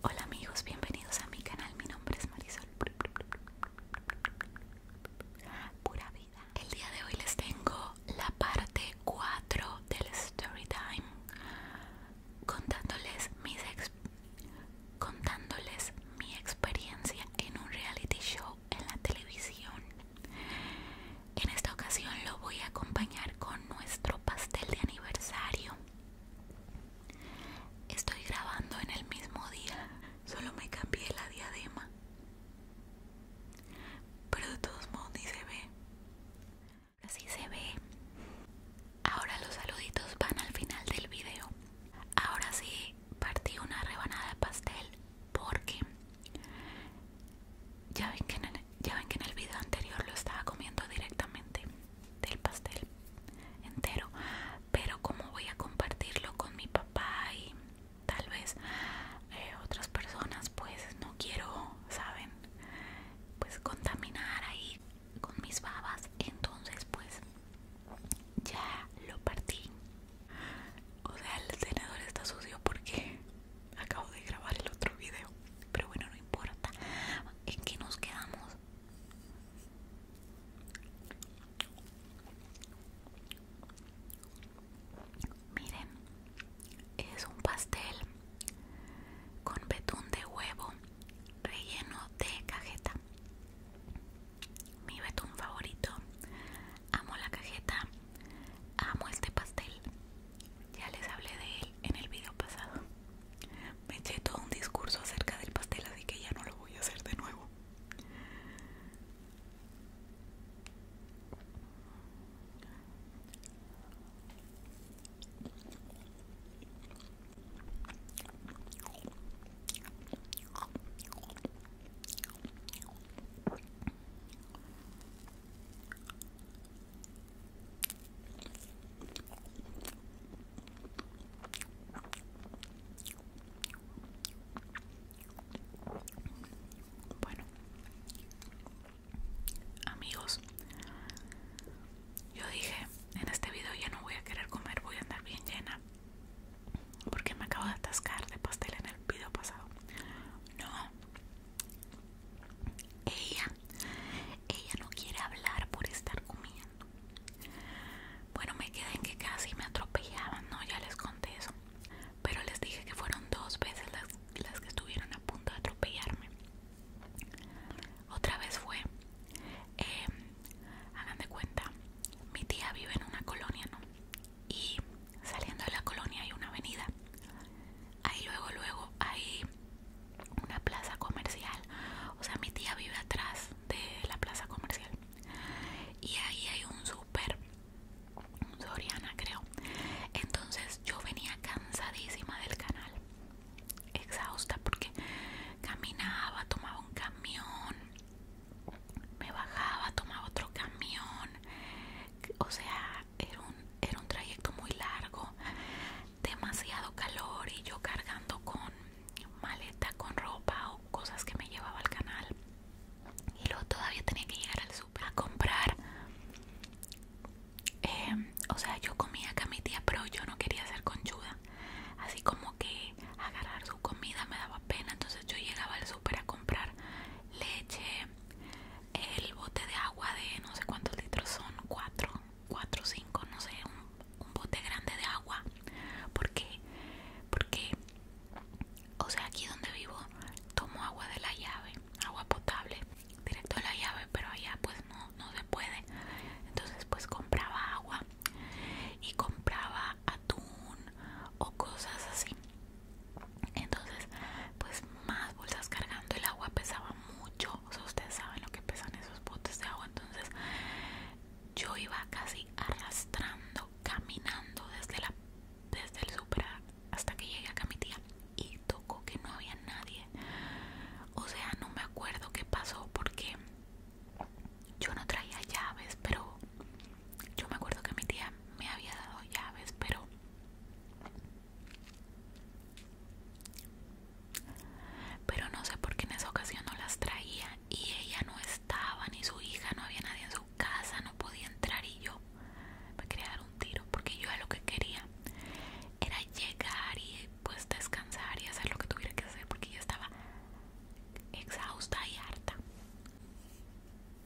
Hola amigos, bienvenidos a mi canal, mi nombre es Marisol Pura Vida El día de hoy les tengo la parte 4 del story time Contándoles, mis contándoles mi experiencia en un reality show en la televisión en esta ocasión lo voy a acompañar con nuestro pastel de aniversario. Estoy grabando en el mismo día, solo me cambié la diadema. Pero de todos modos ni se ve. Así se ve. Ahora los saluditos van al final del video. Ahora sí, partí una rebanada de pastel porque ya ven que en el ya ven que en el video anterior lo estaba comiendo directamente del pastel entero pero como voy a compartirlo con mi papá y tal vez eh, otras personas pues no quiero saben pues contaminar ahí con mis babas entonces pues ya lo partí o sea el tenedor está sucio porque acabo de grabar el otro video pero bueno, no importa. ¿En qué nos quedamos? Miren, es un pastel con betún de huevo relleno de cajeta. Mi betún favorito. Amo la cajeta. Amo este pastel. Ya les hablé de él en el video pasado. Me eché todo un discurso acerca del pastel, así que ya no lo voy a hacer de nuevo. Bueno, amigos, yo dije, en este video ya no voy a querer comer, voy a andar bien llena. Porque me acabo de atascar de pastel en el video pasado. No. Ella ella no quiere hablar por estar comiendo. Bueno, me quedé en que casi me atropellaban, ¿no? Ya les conté eso. Pero les dije que fueron dos veces las, que estuvieron a punto de atropellarme. Otra vez fue, em, hagan de cuenta, mi tía vive en una colonia, ¿no? Y saliendo de la colonia hay una avenida ahí luego luego hay una plaza comercial o sea mi tía vive atrás de la plaza comercial y ahí hay un súper Soriana creo entonces yo venía cansadísima del canal exhausta porque caminaba tomaba un camión me bajaba tomaba otro camión o sea era, un, trayecto muy largo, demasiado calor y yo cargando con maleta, con ropa o cosas que me llevaba al canal. Y luego todavía tenía que llegar al super a comprar. Em, o sea, yo comía acá mi tía, pero yo no quería hacer conchuda. Así como que agarrar su comida me daba pena. Entonces yo llegaba al super a comprar leche, el bote de agua de no sé cuántos litros son, 4, 4 o 5, no sé, un, bote grande de agua. porque, Porque, o sea, aquí donde vivo tomo agua de la llave, agua potable, directo de la llave, pero allá pues no, no se puede. Entonces pues compraba agua y compraba atún o cosas así entonces pues más bolsas cargando el agua pesaba mucho o ustedes saben lo que pesan esos botes de agua entonces yo iba casi arrastrando caminando desde la desde el super hasta que llegué acá a mi tía y tocó que no había nadie o sea no me acuerdo qué pasó porque yo no traía llaves pero yo me acuerdo que mi tía me había dado llaves pero pero no sé por qué en esa ocasión no las traía y ella no estaba, ni su hija, no había nadie en su casa, no podía entrar y yo me quería dar un tiro porque yo lo que quería era llegar y pues descansar y hacer lo que tuviera que hacer porque yo estaba exhausta y harta.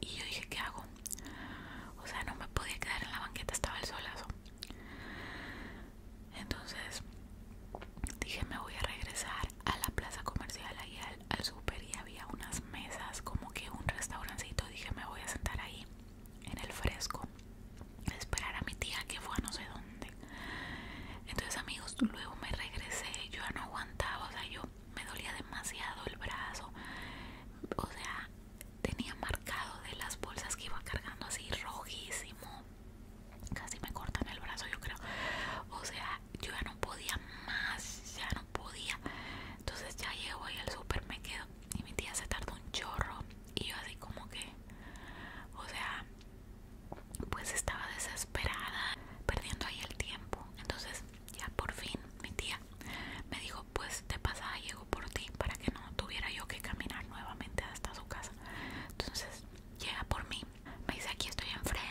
Y yo dije, ¿qué hago? O sea, no me podía quedar en la banqueta, estaba el solazo. Entonces dije, me voy a regresar a la plaza comercial, ahí al, super y había unas mesas, como que un restaurancito. Dije, me voy a sentar ahí, en el fresco, a esperar a mi tía que fue a no sé dónde. Entonces, amigos, luego me regresé, yo ya no aguantaba, o sea, yo me dolía demasiado el brazo, o sea, tenía marcado de las bolsas que iba cargando así rojísimo, casi me cortan el brazo yo creo, o sea, yo ya no podía más, ya no podía, entonces ya llego ahí al súper me quedo y mi tía se tardó un chorro y yo así como que, o sea, pues estaba desesperada, perdiendo ahí el tiempo, entonces ya por fin mi tía me dijo pues te pasada llego por ti para que no tuviera yo que caminar nuevamente hasta su casa entonces llega por mí me dice aquí estoy enfrente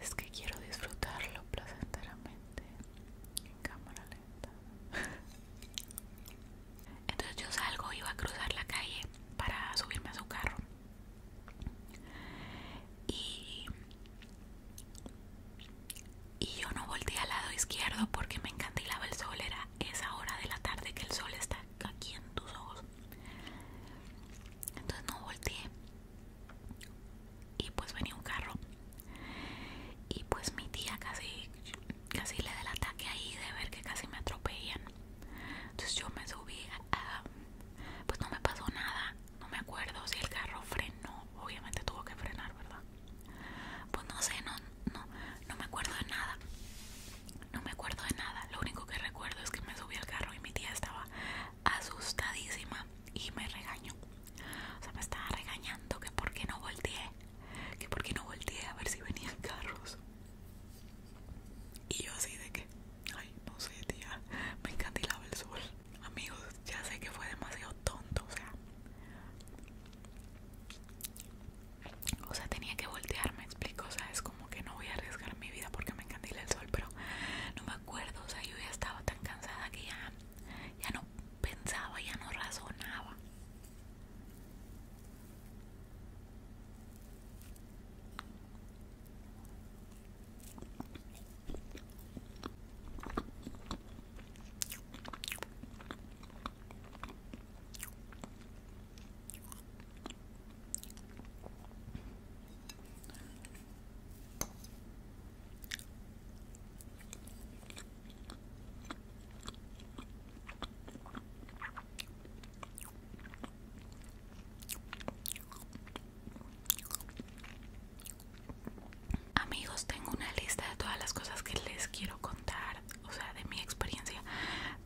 es que quiero disfrutarlo placenteramente en cámara lenta. Entonces yo salgo, iba a cruzar la calle para subirme a su carro. Y, yo no volteé al lado izquierdo porque me encantilaba el sol. Era esa hora de la tarde que el sol está aquí en tus ojos. Entonces no volteé. Y pues venía un carro. Y pues mi tía casi, casi le da el ataque ahí de ver que casi me atropellan. Entonces yo me subí, pues no me pasó nada. No me acuerdo si el carro frenó. Obviamente tuvo que frenar, ¿verdad? Pues no sé, no, no, no me acuerdo de nada. No me acuerdo de nada, lo único que recuerdo es que me subí al carro y mi tía estaba asustadísima y me regañó. O sea, me estaba regañando que por qué no volteé, que por qué no volteé a ver si venían carros. Y yo así de que, ay, no sé, tía, me encantilaba el sol. Amigos, ya sé que fue demasiado tonto, o sea, o sea, tenía que voltearme, explico. O sea, es como que no voy a arriesgar mi vida porque me encandila el sol, pero no me acuerdo. O sea, yo ya estaba tan cansada que ya, ya no pensaba, ya no razonaba. Amigos, tengo una lista de todas las cosas que les quiero contar o sea, de mi experiencia,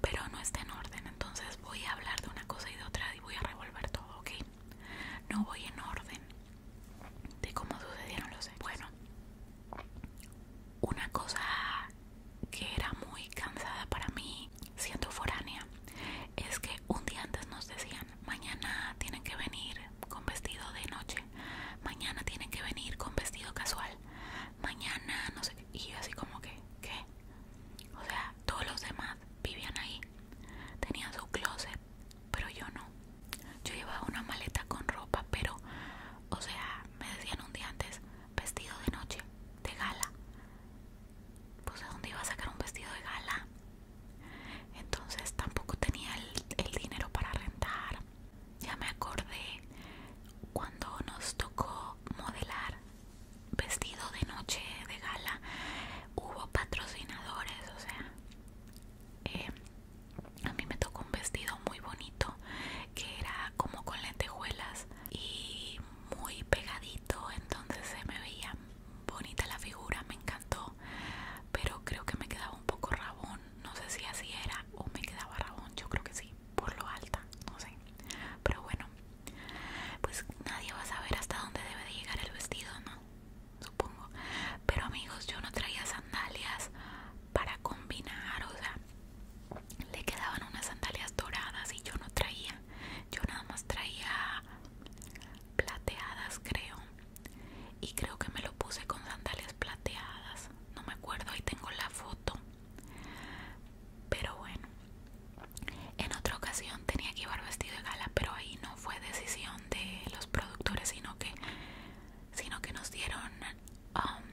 pero no está en orden. Entonces voy a hablar de una cosa y de otra y voy a revolver todo, ¿ok? No voy en orden de cómo sucedieron los Bueno, una cosa que era muy cansada para mí, siendo foránea, es que un día antes nos decían, mañana tienen que venir con vestido de noche, mañana tienen que venir con vestido casual, mañana no sé y yo así como que, ¿qué? O sea, todos los demás vivían ahí. Tenían su closet, pero yo no. Yo llevaba una maleta con ropa, pero, o sea, me decían un día antes, vestido de noche, de gala. Pues de dónde iba a sacar un vestido de gala. Entonces tampoco tenía el dinero para rentar. Ya me acordé cuando nos tocó modelar vestido de noche de gala hubo patrocinadores o sea eh, a mí me tocó un vestido muy bonito que era como con lentejuelas y muy pegadito entonces se me veía bonita la figura me encantó pero creo que me quedaba un poco rabón no sé si así era o me quedaba rabón yo creo que sí por lo alta, no sé. Pero bueno, pues nadie va a saber hasta dónde debe de llegar el vestido, ¿no? Supongo. Pero amigos, yo no traía sandalias para combinar, o sea, le quedaban unas sandalias doradas y yo no traía. Yo nada más traía plateadas, creo. Y creo que me lo puse con sandalias plateadas. No me acuerdo, ahí tengo la foto. Pero bueno, en otra ocasión tenía que llevar vestido de gala, pero ahí no fue decisión de los productores, sino que, sino que nos dieron um,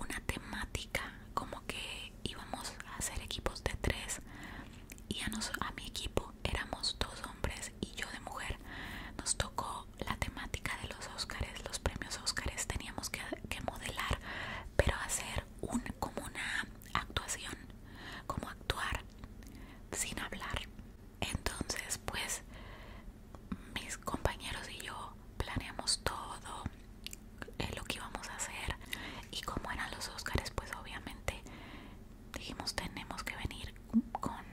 una temática, como que íbamos a hacer equipos de tres y a, a mi equipo éramos dos hombres y yo de mujer. Nos tocó la temática de los los los premios Óscares, teníamos que, modelar, pero hacer un, como una actuación, como actuar sin hablar. Entonces, pues mis compañeros y yo planeamos todo eh, lo que íbamos a hacer y como eran los oscars pues obviamente dijimos tenemos que venir con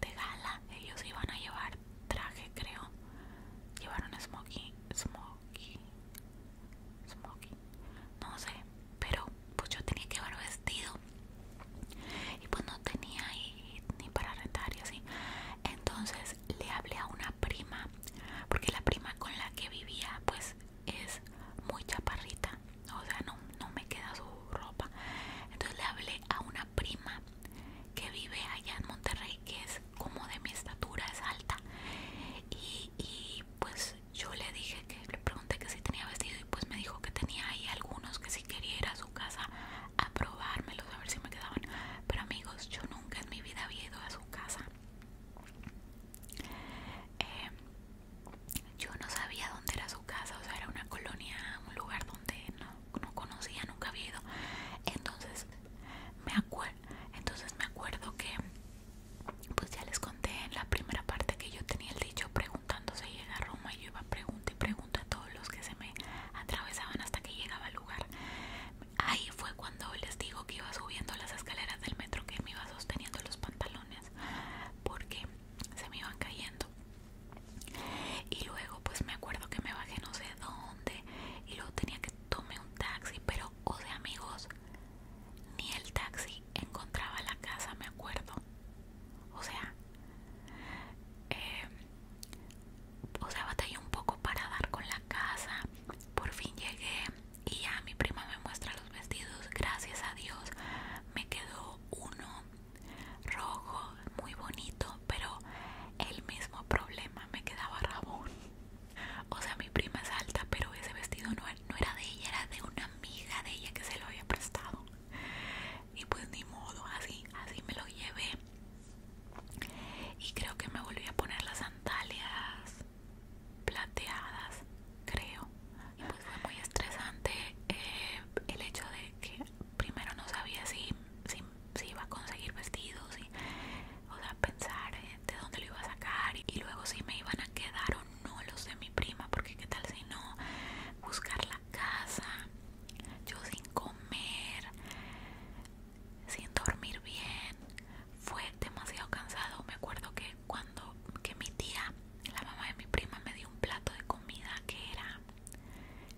de gala ellos iban a llevar traje creo llevaron smoky smoky smoky no sé pero pues yo tenía que llevar vestido y pues no tenía ni para rentar y así entonces le hablé a una prima porque la prima con la que vivía pues es muy chaparrita o sea no, no me queda su ropa entonces le hablé a una prima que vive allá en Monterrey que es como de mi estatura es alta y, y pues yo le dije que le pregunté que si tenía vestido y pues me dijo que tenía ahí algunos que si quería ir a su casa a probármelos a ver si me quedaban pero amigos yo nunca en mi vida había ido a su casa eh, yo no sabía dónde era su casa o sea era una colonia un lugar donde no no, conocía, nunca había ido. Entonces me, acuerdo entonces me acuerdo que, pues ya les conté en la primera parte que yo tenía el dicho preguntándose si llega a Roma y yo iba pregunta y pregunta a todos los que se me atravesaban hasta que llegaba al lugar. Ahí fue cuando les digo que iba subiendo las escaleras del metro que me iba sosteniendo los pantalones porque se me iban cayendo. Y luego pues me acuerdo que me bajé no sé dónde y luego tenía que tomé un taxi, pero o de amigos, ni el taxi encontraba la casa, me acuerdo. O sea, em, o sea, batallé un poco para dar con la casa. Por fin llegué y ya mi prima me muestra los vestidos. Gracias a Dios me quedó uno rojo, muy bonito, pero el mismo problema me quedaba rabón. O sea, mi prima es alta, pero ese vestido e-, no, era de ella, era de una amiga de ella que se lo había prestado. Y pues ni modo, así, así me lo llevé. Y creo que me volví a poner las sandalias plateadas, creo. Y pues fue muy estresante eh, el hecho de que primero no sabía si si iba a conseguir vestidos y o sea, pensar eh, de dónde lo iba a sacar y, luego si me iban a quedar o no los de mi prima, porque qué tal si no, buscar la casa, yo sin comer, sin dormir bien, fue demasiado cansado. Me acuerdo que cuando que mi tía, la mamá de mi prima, me dio un plato de comida que era,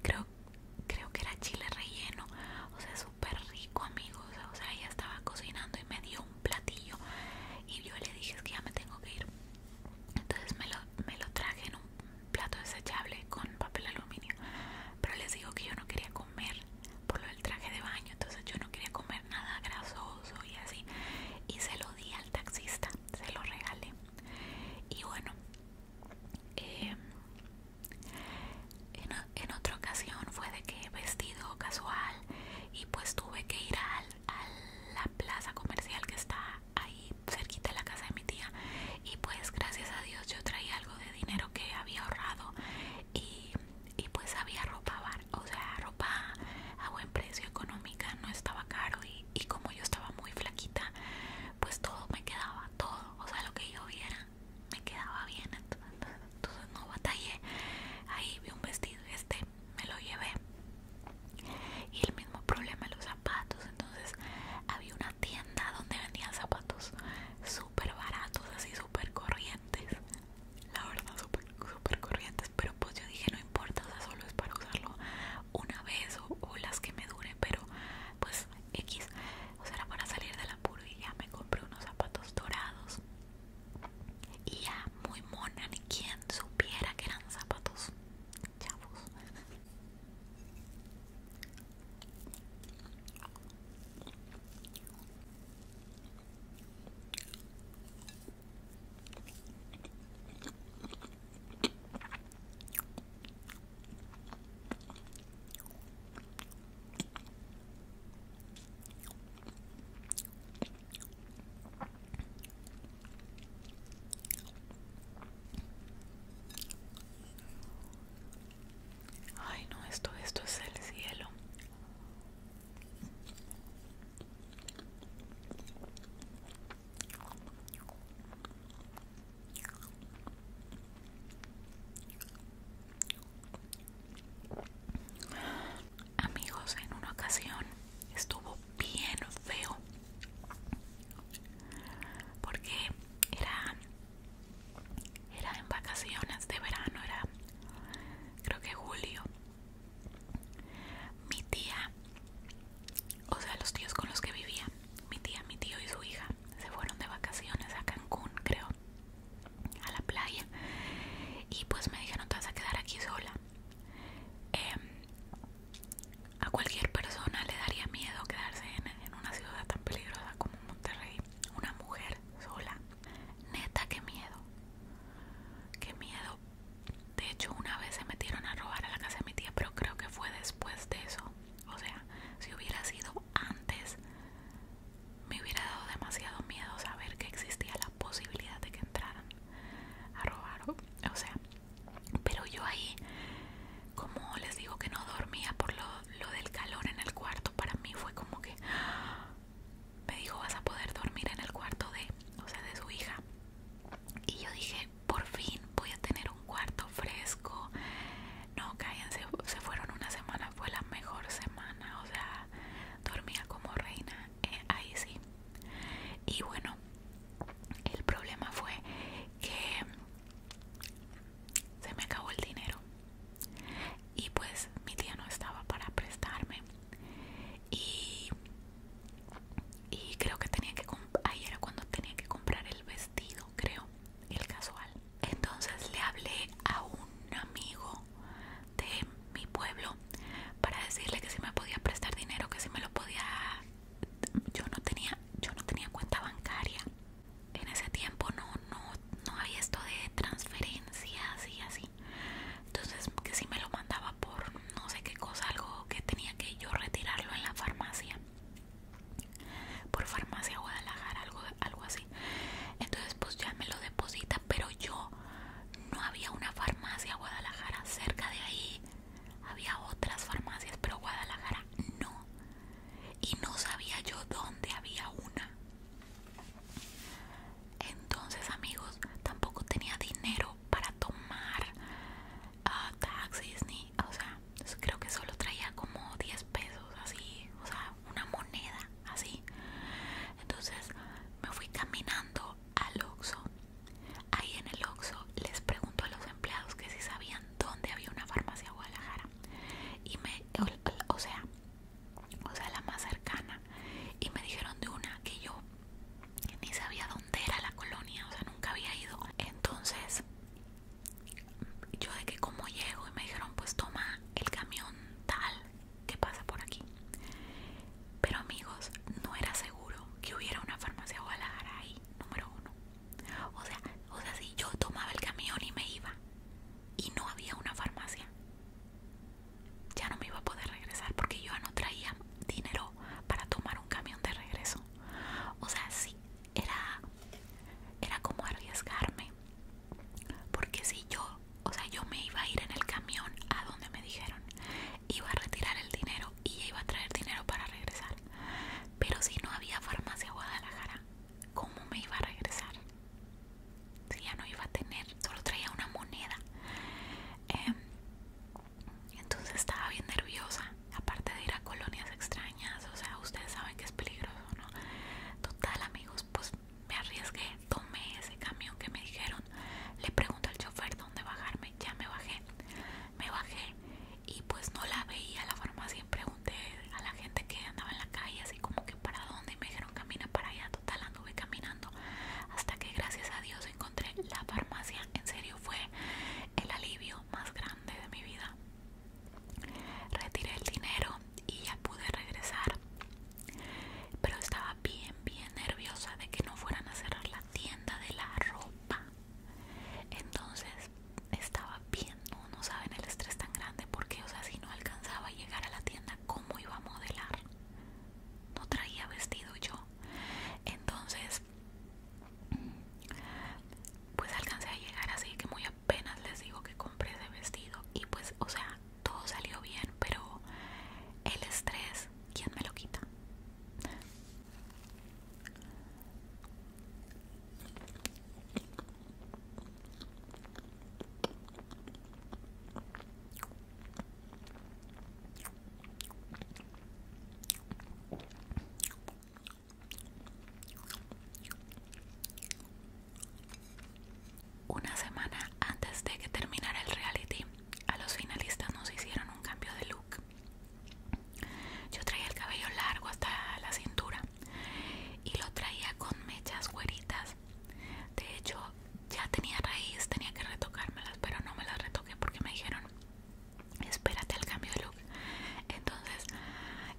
creo, creo que era chile relleno, o sea, rico amigos o sea ella estaba cocinando y me dio un platillo y yo le dije es que ya me tengo que ir entonces me lo, me lo traje en un plato desechable con papel aluminio pero les digo que yo no quería comer por lo del traje de baño entonces yo no quería comer nada grasoso y así y se lo di al taxista se lo regalé y bueno eh, en, otra ocasión fue de que vestido casual y pues tuve que ir a la plaza comercial que está ahí cerquita de la casa de mi tía y pues gracias a Dios yo traía algo de dinero que había ahorrado y, pues había ropa, bar, o sea, ropa a buen precio económica, no estaba caro y, y como yo estaba muy flaquita pues todo me quedaba, todo, o sea, lo que yo viera me quedaba bien entonces no batallé ahí vi un vestido este me lo llevé y el mismo problema los zapatos entonces había una tienda donde vendían zapatos súper baratos así súper corrientes la verdad súper super corrientes pero pues yo dije no importa o sea solo es para usarlo una vez o, las que me dure, pero pues X, o sea, para salir del apuro y ya me compré unos zapatos dorados y ya muy mona, ni quien supiera que eran zapatos chavos. Ay, no, esto, esto es el cielo. Amigos, en una ocasión estuvo bien feo porque era era en vacaciones de verano, era creo que julio. Mi tía, o sea, los tíos con los que vivía, mi tía, mi tío y su hija se fueron de vacaciones a Cancún, creo, a la playa. Y pues me dijeron, te vas a quedar aquí sola. Em, a cualquier persona le daría miedo quedarse en, en una ciudad tan peligrosa como Monterrey. Una mujer sola. Neta, qué miedo. Qué miedo. De hecho, una vez se metieron a robar a la casa de mi tía, pero creo que fue después de eso. O sea, si hubiera sido antes, me hubiera dado demasiado miedo saber que existía la posibilidad de que entraran a robar. O sea, pero yo ahí, como les digo que no dormía por lo, del calor en el cuarto, para mí fue como que me dijo vas a poder dormir en el cuarto de, o sea, de su hija. Y yo dije, por fin voy a tener un cuarto fresco, no, cállense, se fueron una semana, fue la mejor semana, o sea, dormía como reina, eh, ahí sí. Y bueno, el problema fue que se me acabó el dinero y pues mi tía no estaba para prestarme y, y creo que tenía que, ahí era cuando tenía que comprar el vestido, creo, el casual. Entonces le hablé a un amigo de mi pueblo para decirle que si me podía prestar dinero, que si me lo podía yo no tenía yo no tenía cuenta bancaria. En ese tiempo no no no había esto de transferencias y así. Entonces que si me lo mandaba por no sé qué cosa algo que tenía que yo retirarlo en la farmacia por farmacia Guadalajara, algo, así. Entonces pues ya me lo depositan pero yo no había una farmacia Guadalajara cerca de ahí. Había otras farmacias, pero Guadalajara no. Y no sabía yo dónde había una. Entonces amigos, tampoco tenía dinero para tomar ah, taxis ni, o sea, Creo que solo traía como 10 pesos, así, o sea, una moneda, así. Entonces me fui caminando al Oxxo. Ahí en el Oxxo les pregunto a los empleados que si sabían dónde había una farmacia Guadalajara. Y me, o sea, o sea, la más cercana. Y me dijeron de una que yo ni sabía dónde era la colonia, o sea, nunca había ido. Entonces yo de que como llego y me dijeron pues toma el camión tal que pasa por aquí pero amigos no era seguro que hubiera una farmacia Guadalajara ahí número uno o sea o sea si yo tomaba el camión y me iba y no había una farmacia ya no me iba a poder regresar porque yo ya no traía dinero para tomar un camión de regreso o sea sí era era como arriesgarme porque si yo o sea yo me iba a ir en el camión a donde me dijeron iba a retirar el dinero y iba a traer dinero para regresar pero si no había farmacia Guadalajara cómo me iba a regresar si ya no iba a tener solo traía una moneda em, entonces estaba bien nerviosa Aparte de ir a colonias extrañas, o sea, ustedes saben que es peligroso, ¿no? Total, amigos, pues me arriesgué, tomé ese camión que me dijeron. Le pregunto al chofer dónde bajarme, ya me bajé. Me bajé y pues no la veía la farmacia. Pregunté a la gente que andaba en la calle, así como que para dónde, y me dijeron camina para allá. Total, anduve caminando hasta que gracias a Dios encontré la farmacia. En serio, fue el alivio más grande de mi vida. Retiré el dinero y ya pude regresar. Pero estaba bien, bien nerviosa de que no fueran a cerrar la tienda de la ropa. Entonces estaba bien, no, saben el estrés tan grande porque, o sea, si no alcanzaba a llegar a la tienda, ¿cómo iba a modelar? No traía vestido yo. Entonces pues alcancé a llegar así que muy apenas les digo que compré ese vestido y pues o sea todo salió bien pero el estrés quién me lo quita una semana antes de que terminara el reality, a los finalistas nos hicieron un cambio de look. Yo traía el cabello largo hasta la cintura y lo traía con mechas güeritas. De hecho, ya tenía raíz, tenía que retocármelas, pero no me las retoqué porque me dijeron espérate el cambio de look. Entonces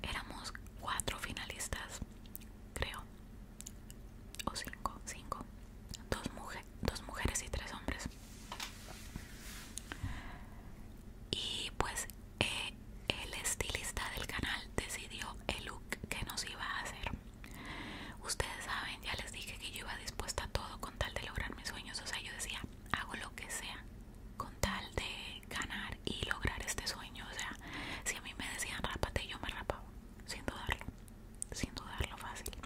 éramos cuatro finalistas, creo, o cinco, cinco, dos, mujeres y tres hombres. Y pues eh, el estilista del canal decidió el look que nos iba a hacer. Ustedes saben, ya les dije que yo iba dispuesta a todo con tal de lograr mis sueños. O sea, yo decía, hago lo que sea con tal de ganar y lograr este sueño. O sea, si a mí me decían rápate, yo me rapaba, sin dudarlo, sin dudarlo fácil.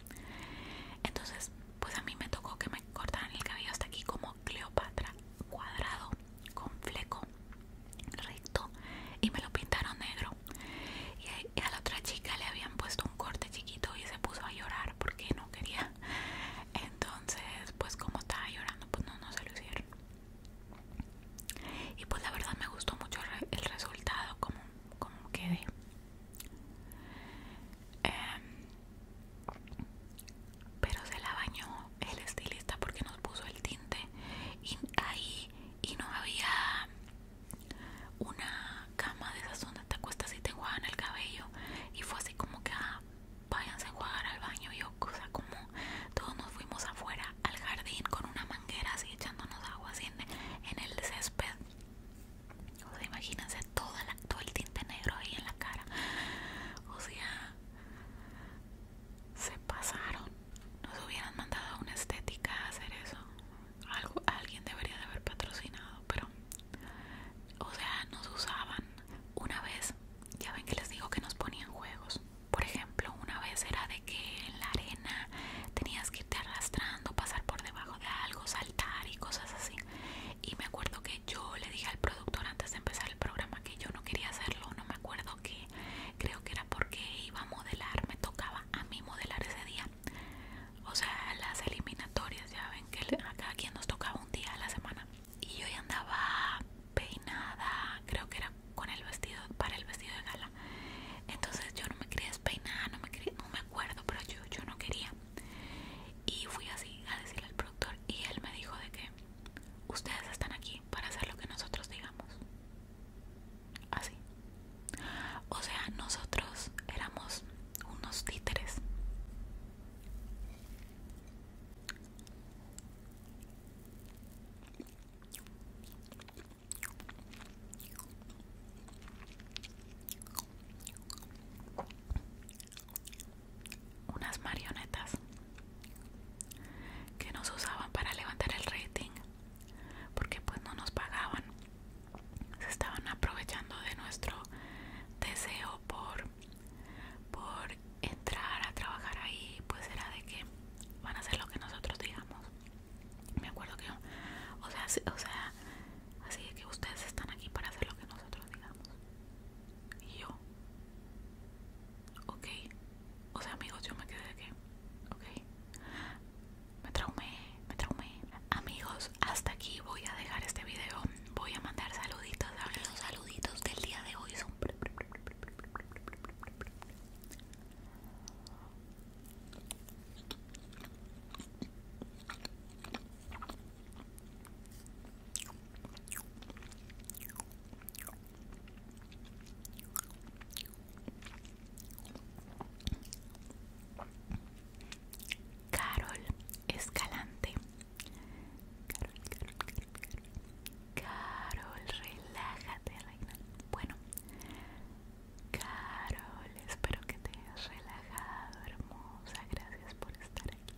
Entonces, pues a mí me tocó que me cortaran el cabello hasta aquí como Cleopatra, cuadrado, con fleco, recto, y me lo pintaron negro. Y a la otra chica le habían puesto un corte chiquito y se puso a llorar porque no quería entonces pues como estaba llorando pues no, no se lo hicieron y pues la verdad me gustó mucho el resultado como, como quedé em, pero se la bañó el estilista porque nos puso el tinte y ahí y no había una cama de esas donde te acuestas y te en el cabello y fue así como que ah, váyanse a jugar al baño. Yo, o sea, como todos nos fuimos afuera al jardín con una manguera así echándonos agua así en, el césped. O sea, imagínense todo el tinte negro ahí en la cara. O sea, se pasaron. Nos hubieran mandado a una estética a hacer eso. Algo, alguien debería de haber patrocinado, pero, o sea, nos usaban. Una vez ya ven que les digo que nos ponían juegos. Por ejemplo, una vez era de que en la arena tenías que irte arrastrando, pasar por debajo de algo, saltar y cosas así. Y me acuerdo que yo le dije al productor antes de empezar el programa que yo no quería hacerlo, no me acuerdo que creo que era porque iba a modelar, me tocaba a mí modelar ese día. O sea, las eliminatorias, ya ven que a cada quien nos tocaba un día a la semana y yo ya andaba peinada, creo que era con el vestido, para el vestido de gala. Entonces yo no me quería despeinar, no me, no me acuerdo, pero yo, yo no quería. Y fui así a decirle al productor y él me dijo de que ustedes están aquí para hacer lo que nosotros digamos. Así. O sea, nosotros éramos unos títeres unas marionetas que nos usaban para levantar el rating porque pues no nos pagaban se estaban aprovechando de nuestro deseo por por entrar a trabajar ahí pues era de que van a hacer lo que nosotros digamos me acuerdo que o sea, o sea así de que ustedes están aquí para hacer lo que nosotros digamos y yo ok o sea amigos yo me quedé de que ok me traumé me traumé amigos hasta aquí voy a dejar este video voy a mandar saluditos. Ahora los saluditos del día de hoy son. Carol Escalante Carol, Carol, Carol, Carol. relájate, reina. Bueno, Carol, espero que te hayas relajado, hermosa. Gracias por estar aquí.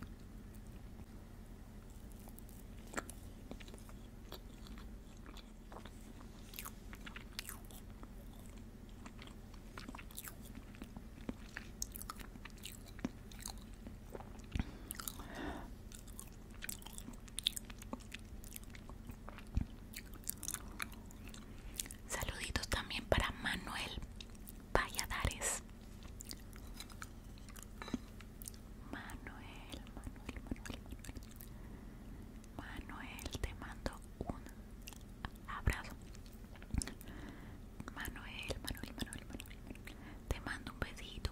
Saluditos también para Manuel Valladares. Manuel, Manuel, Manuel, Manuel. Manuel, te mando un abrazo. Manuel, Manuel, Manuel, Manuel, Te mando un besito.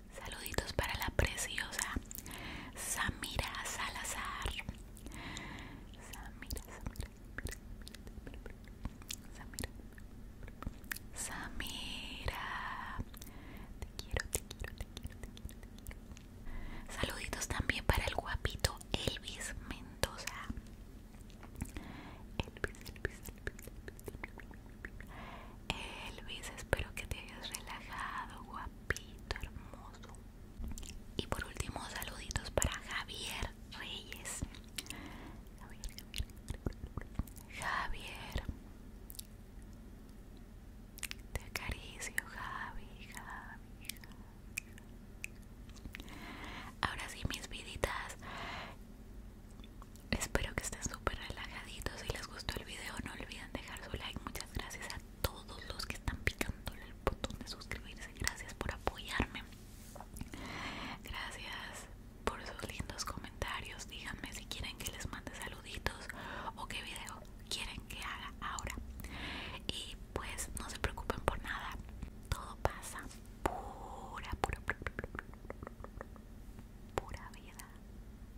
Saluditos para la preciosa Samira Salazar. Samira, Samira, Samira, Te quiero, te quiero, te quiero, te quiero, Saluditos también para el guapito Elvis Mendoza. Elvis, Elvis, Elvis, Elvis. Elvis, espero que te hayas relajado, guapo hermoso. Y por último, saluditos para Javier Reyes. Javier, Te acaricio, Javi, Javi, Ahora sí, mis viditas. Espero que estén súper relajaditos. y les gustó video no olviden dejar su like muchas gracias a todos los que están picando el botón de suscribirse gracias por apoyarme gracias por sus lindos comentarios díganme si quieren que les mande saluditos o qué video quieren que haga ahora y pues no se preocupen por nada todo pasa pura pura pura, pura vida